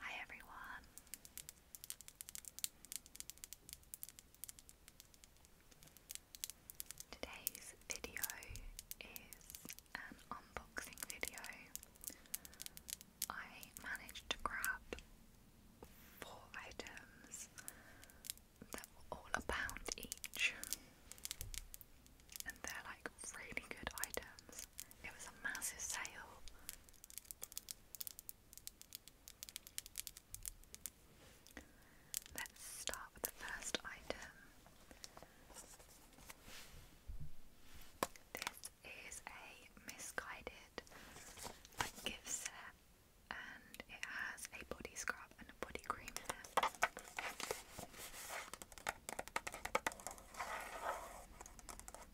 Hi everyone. Today's video is an unboxing video. I managed to grab four items that were all a pound each. And they're like really good items. It was a massive sale. Let's start with the first item. This is a misguided gift set and it has a body scrub and a body cream in it.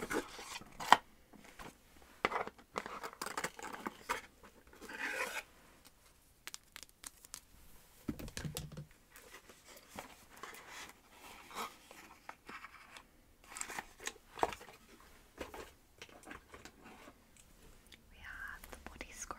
We have the body scrub.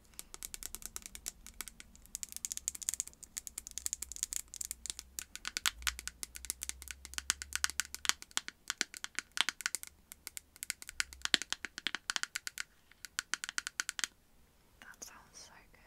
That sounds so good.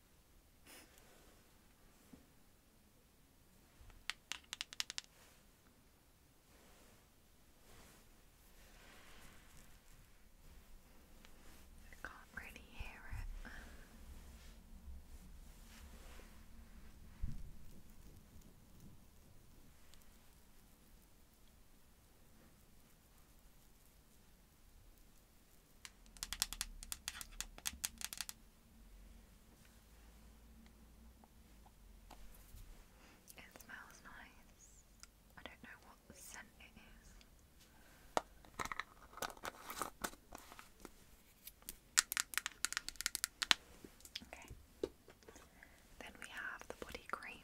I can't really hear it. It smells nice. I don't know what scent it is. Okay. Then we have the body cream.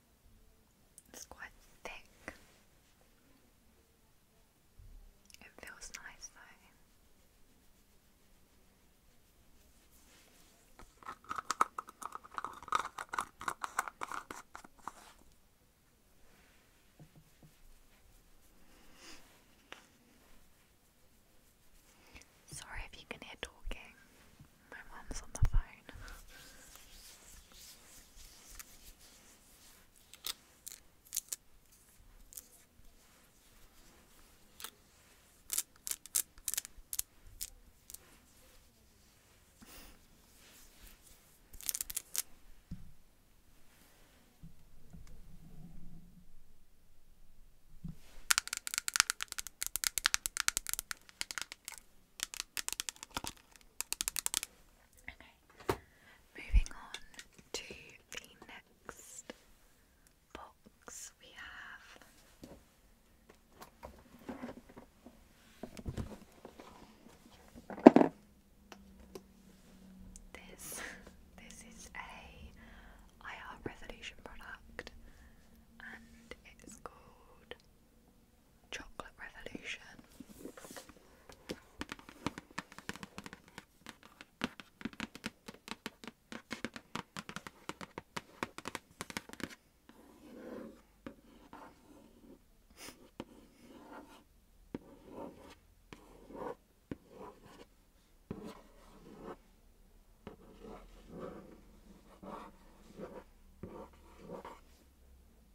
It's quite thick. It feels nice though. Sorry if you can hear talking. My mom's on the phone. Okay, moving on to the next box we have. This this is a IR resolution product and it's called Chocolate Revolution.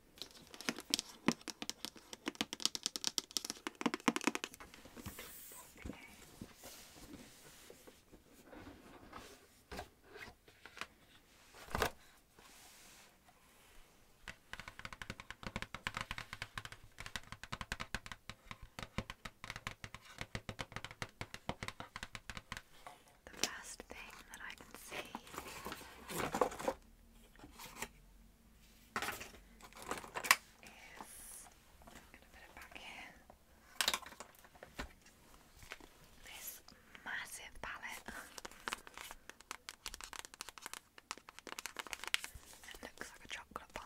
The first thing that I can see this massive palette that looks like a chocolate bar.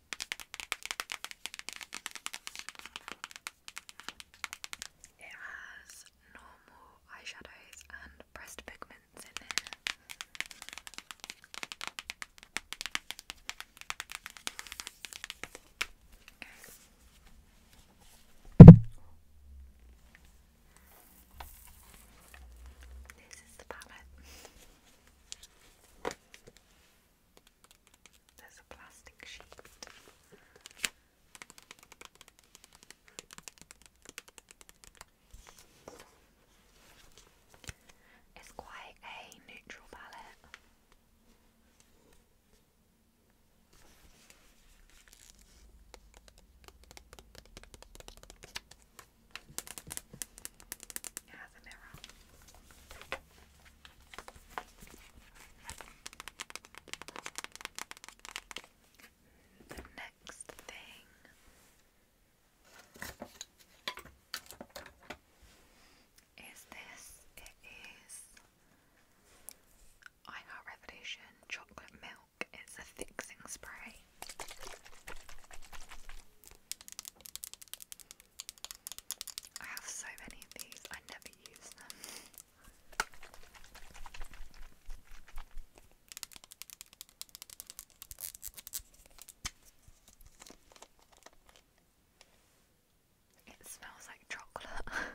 It has normal eyeshadows and pressed pigments in there. Okay. This is the palette. There's a plastic sheet. It's quite a neutral palette. It has The next thing is this. It is I Heart Revolution Chocolate Milk. It's a fixing spray. I have so many of these, I never use them. It smells like chocolate.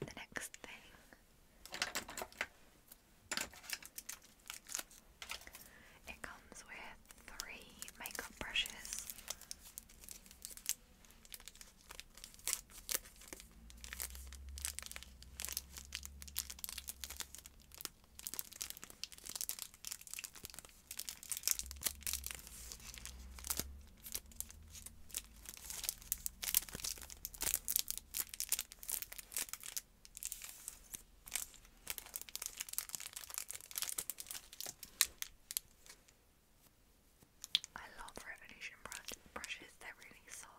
The next thing, it comes with three makeup brushes. I love Revolution brushes, they're really soft.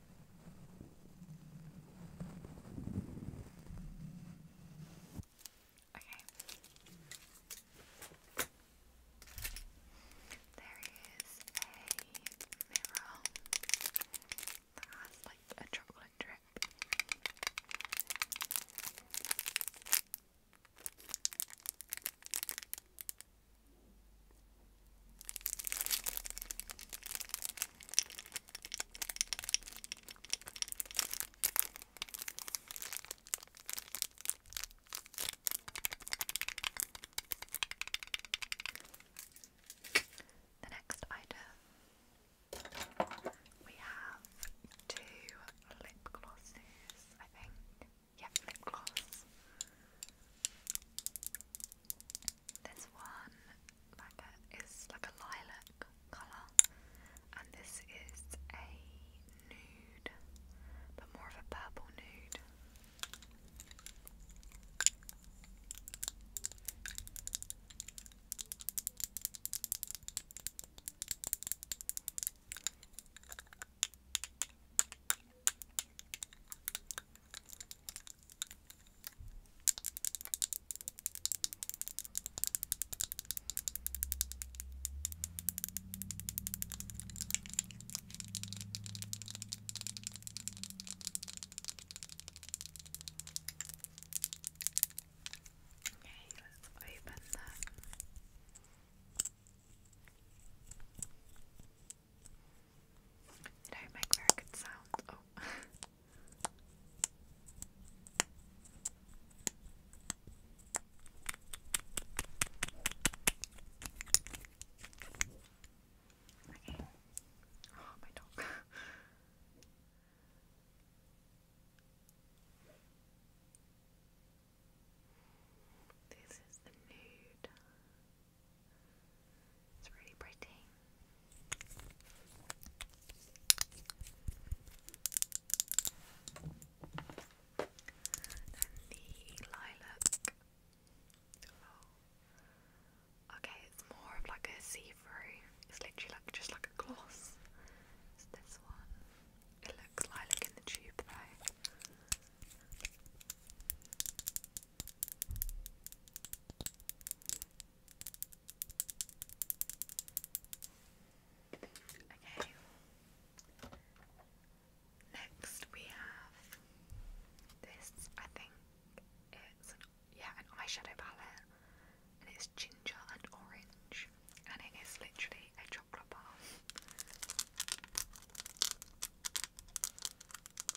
Okay. There is a mirror that has like a chocolate drip. The next item we have two lip glosses, I think. Yep, lip gloss. This one like a, is like a lilac colour, and this is a nude, but more of a purple nude. Okay, let's open them. Okay. Did I make very good sounds? Oh, my dog. This is the nude. It's really pretty. Then the lilac. Oh. Okay, it's more of like a see-through. It's literally like just like a gloss. this one. It looks lilac in the tube though. Okay. Next we have this. I think it's an yeah an eyeshadow palette, and it's ginger and orange, and it is literally a chocolate bar.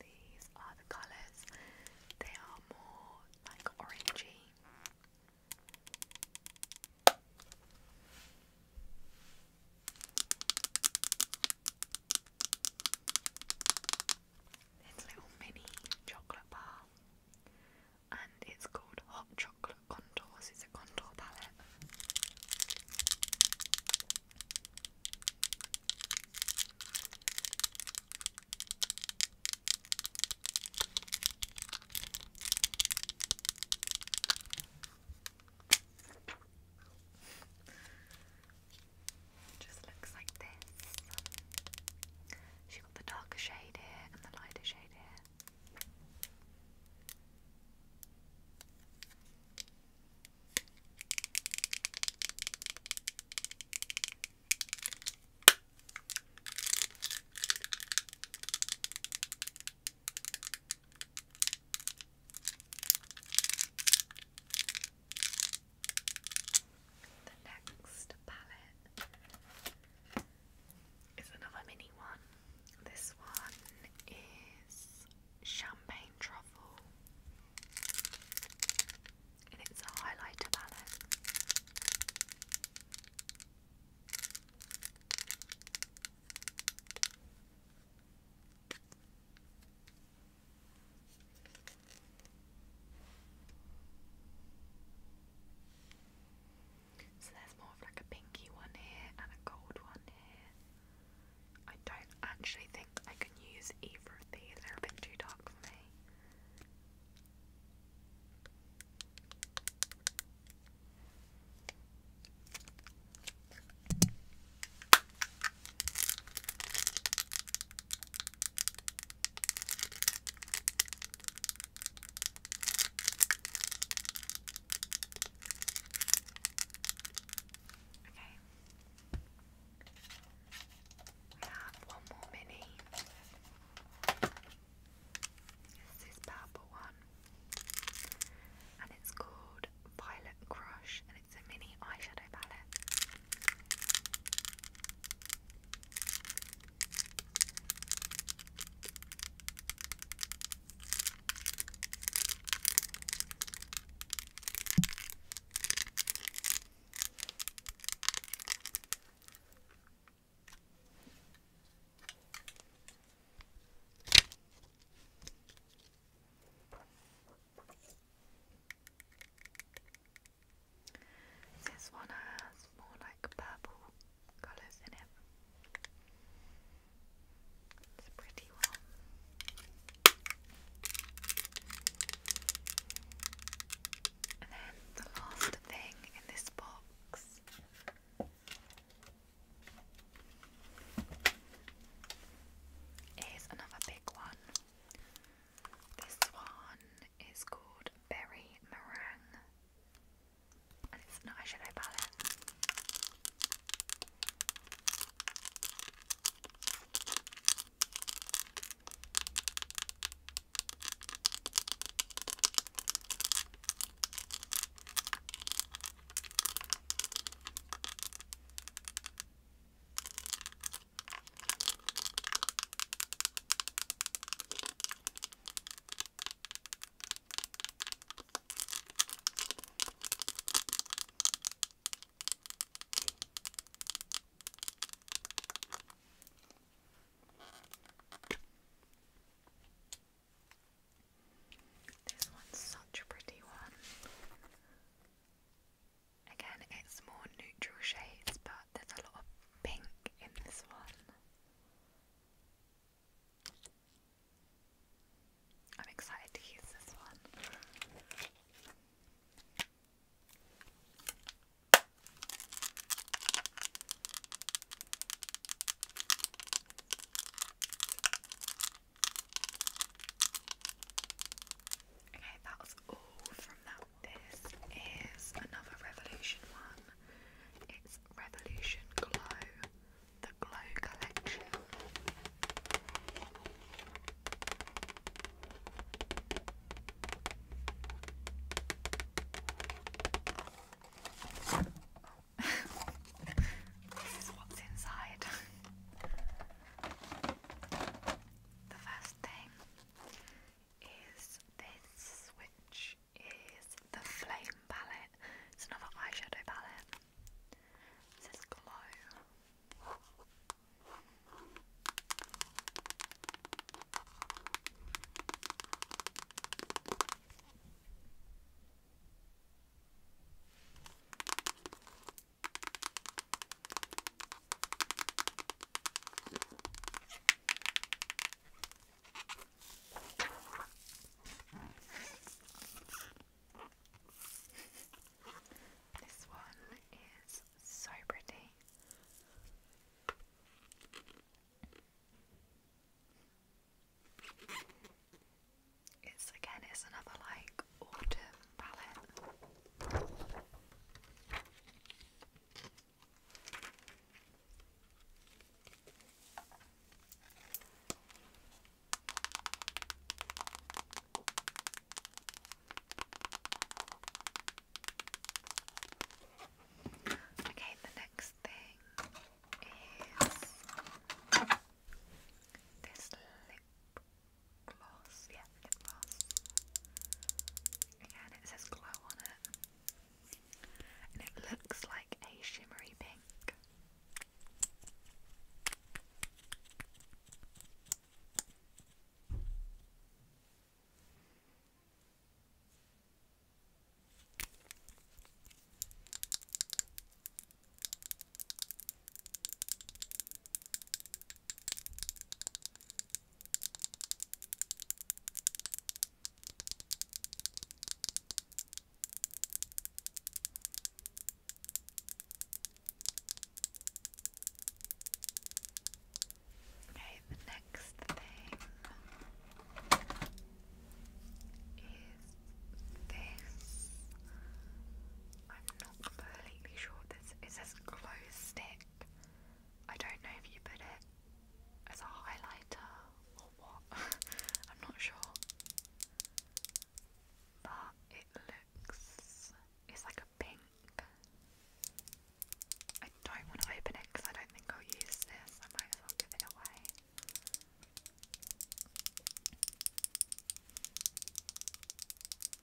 These are the colours. They are more like orangey this little mini chocolate bar, and it's called Hot Chocolate Contours. It's a contour palette. It just looks like this. She got the darker shade here and the lighter shade here. The next palette is another mini one. This one is Champagne Truffle, and it's a highlighter palette. So there's more of like a pinky one here and a gold one here. I don't actually think I can use either of these, they're a bit too dark for me. Okay. We have one more mini. This is purple one. And it's called Violet Crush it's a mini eyeshadow palette. This one has more like purple colours in it. It's a pretty one. And then the last thing in this box is another big one. This one is called Berry Meringue and it's an eyeshadow palette. This one's such a pretty one. Again, it's more neutral shades, but there's a lot of pink in this one. I'm excited to use this one. Okay, that was all from that. This is another Revolution one. It's Revolution Glow, the Glow Collection. this is what's inside. the first thing is this, which is the Flame palette. It's another eyeshadow palette. It says Glow. This one is so pretty. It's again, it's another like Dark Okay, the next thing is this lip gloss, yeah, lip Again, it says glow on it, and it looks like a shimmery pink. Okay, the next thing is this. I'm not completely sure this. It says glow stick. I don't know if you put it as a highlighter or what. I'm not sure. But it looks. It's like a pink. I don't want to open it because I don't think I'll use this. I might as well give it away.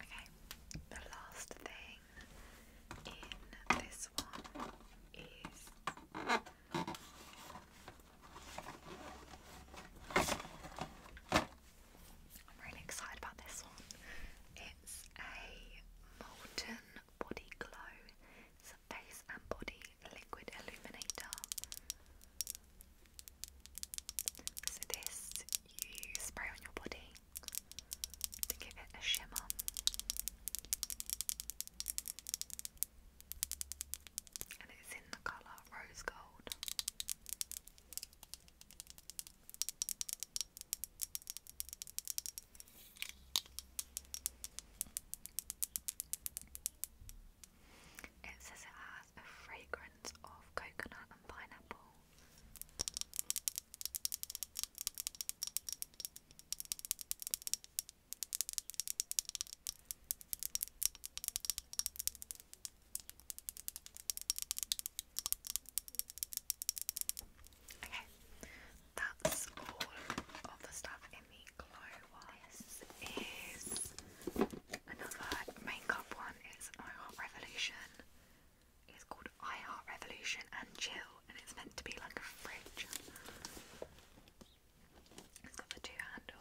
Okay, the last thing in this one is I'm really excited about this one. It's a molten body glow. face and body liquid illuminator. So this you spray on your body to give it a shimmer. And it's in the colour rose gold. It says it has a fragrance of coconut and pineapple. Okay, that's all of the stuff in the glow. This is Another makeup one is I Heart Revolution. It's called I Heart Revolution and Chill, and it's meant to be like a fridge. It's got the two handles.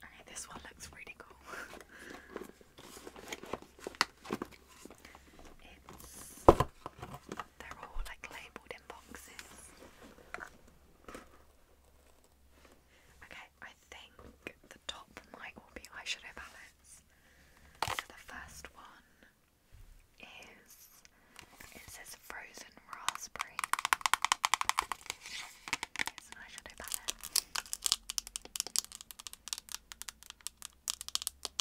Okay, this one looks really cool. It's they're all like labelled in boxes. Okay, I think the top might all be eyeshadow palettes. the first one is it says frozen raspberry. It's an eyeshadow palette.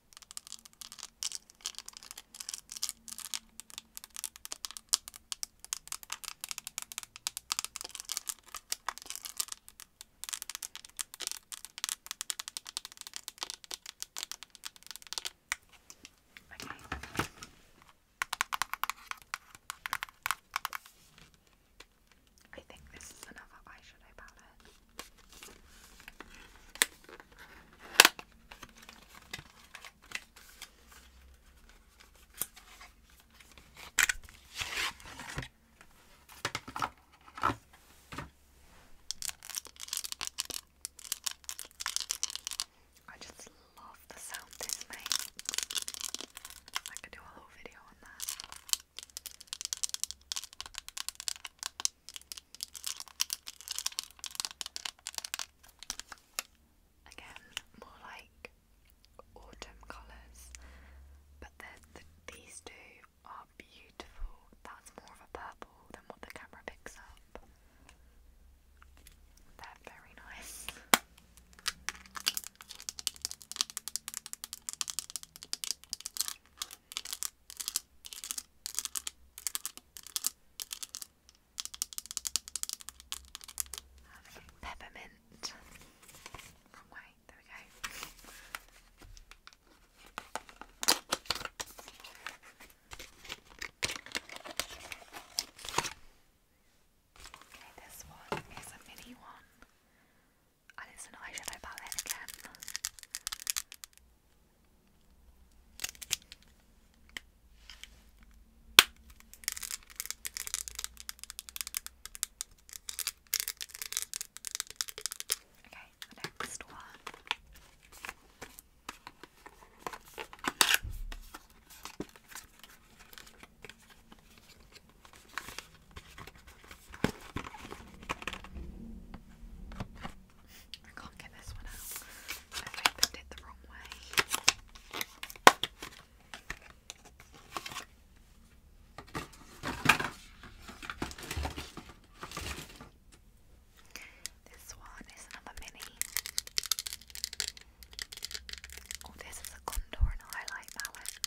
Okay. I think this is another eyeshadow palette. I just love the sound this makes. I could do a whole video on that. Again, more like autumn colours, but these two are beautiful. That's more of a purple than what the camera picks up. They're very nice peppermint. Wrong way, there we go. Okay, this one is a mini one. And it's an eyeshadow palette again. Okay, the next one. Okay, I can't get this one out. I've opened it the wrong way. This one is another mini. Oh, this is a contour highlight mallet.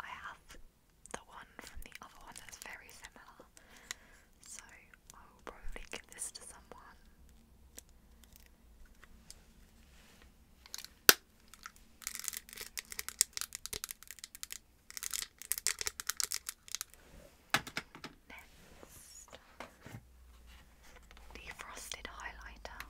I have the one from the other one that's very similar, so I will probably give this to someone. Next, Defrosted highlighter.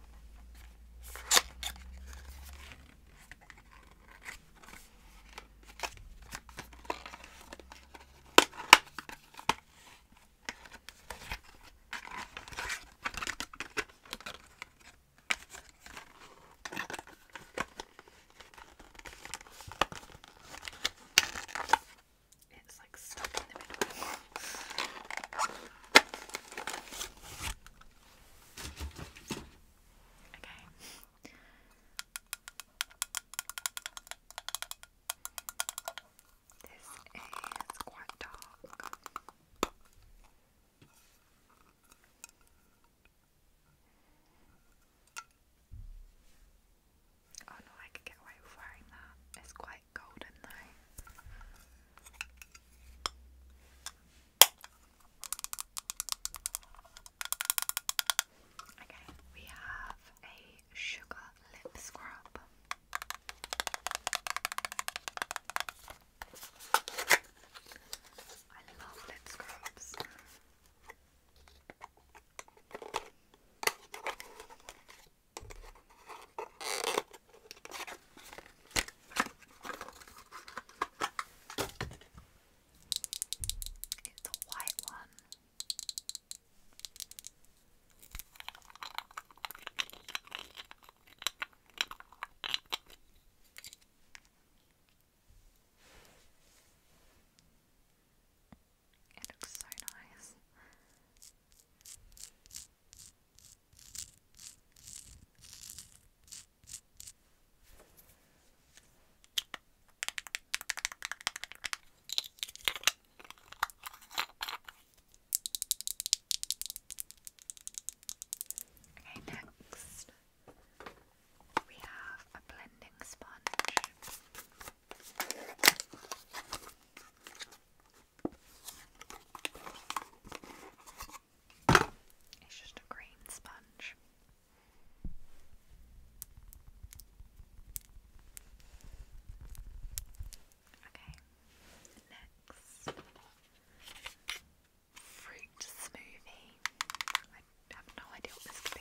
It's like stuck in the middle. Okay. This is quite dark. Oh no, I could get away with wearing that. It's quite golden though. Okay, we have a sugar lip scrub. I love lip scrubs. It's the white one. It looks so nice. Okay, next we have a blending sponge. It's just a green sponge. Okay, next fruit smoothie. I have no idea what this could be.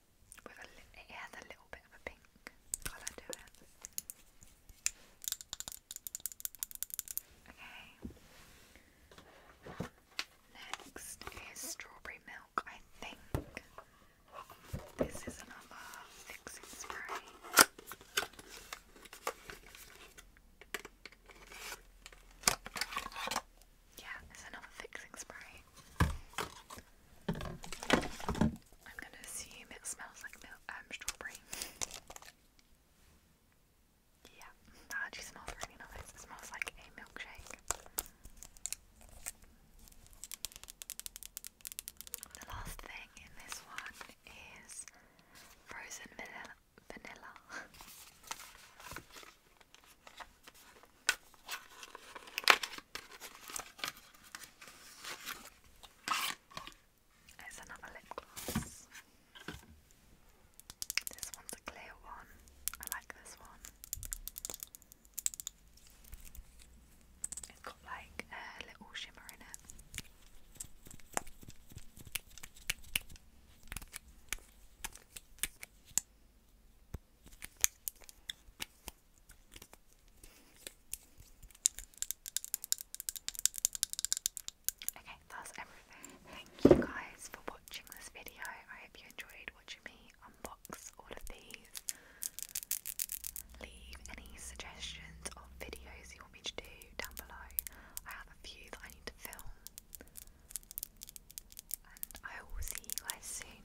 it has a little bit of a pink colour to it. Okay. Next is strawberry milk. I think this is another fixing spray. Yeah, it's another fixing spray. I'm gonna assume it smells like milk, um, strawberry. Yeah, that actually smells really nice. It smells like a milkshake. The last thing in this one is frozen vanilla. It's another lip gloss. This one's a clear one. I like this one. It's got like a little shimmer in it. Okay, that's everything. Thank you guys for watching this video. I hope you enjoyed watching me unbox all of these. Leave any suggestions of videos you want me to do down below. I have a few that I need to film. And I will see you guys soon.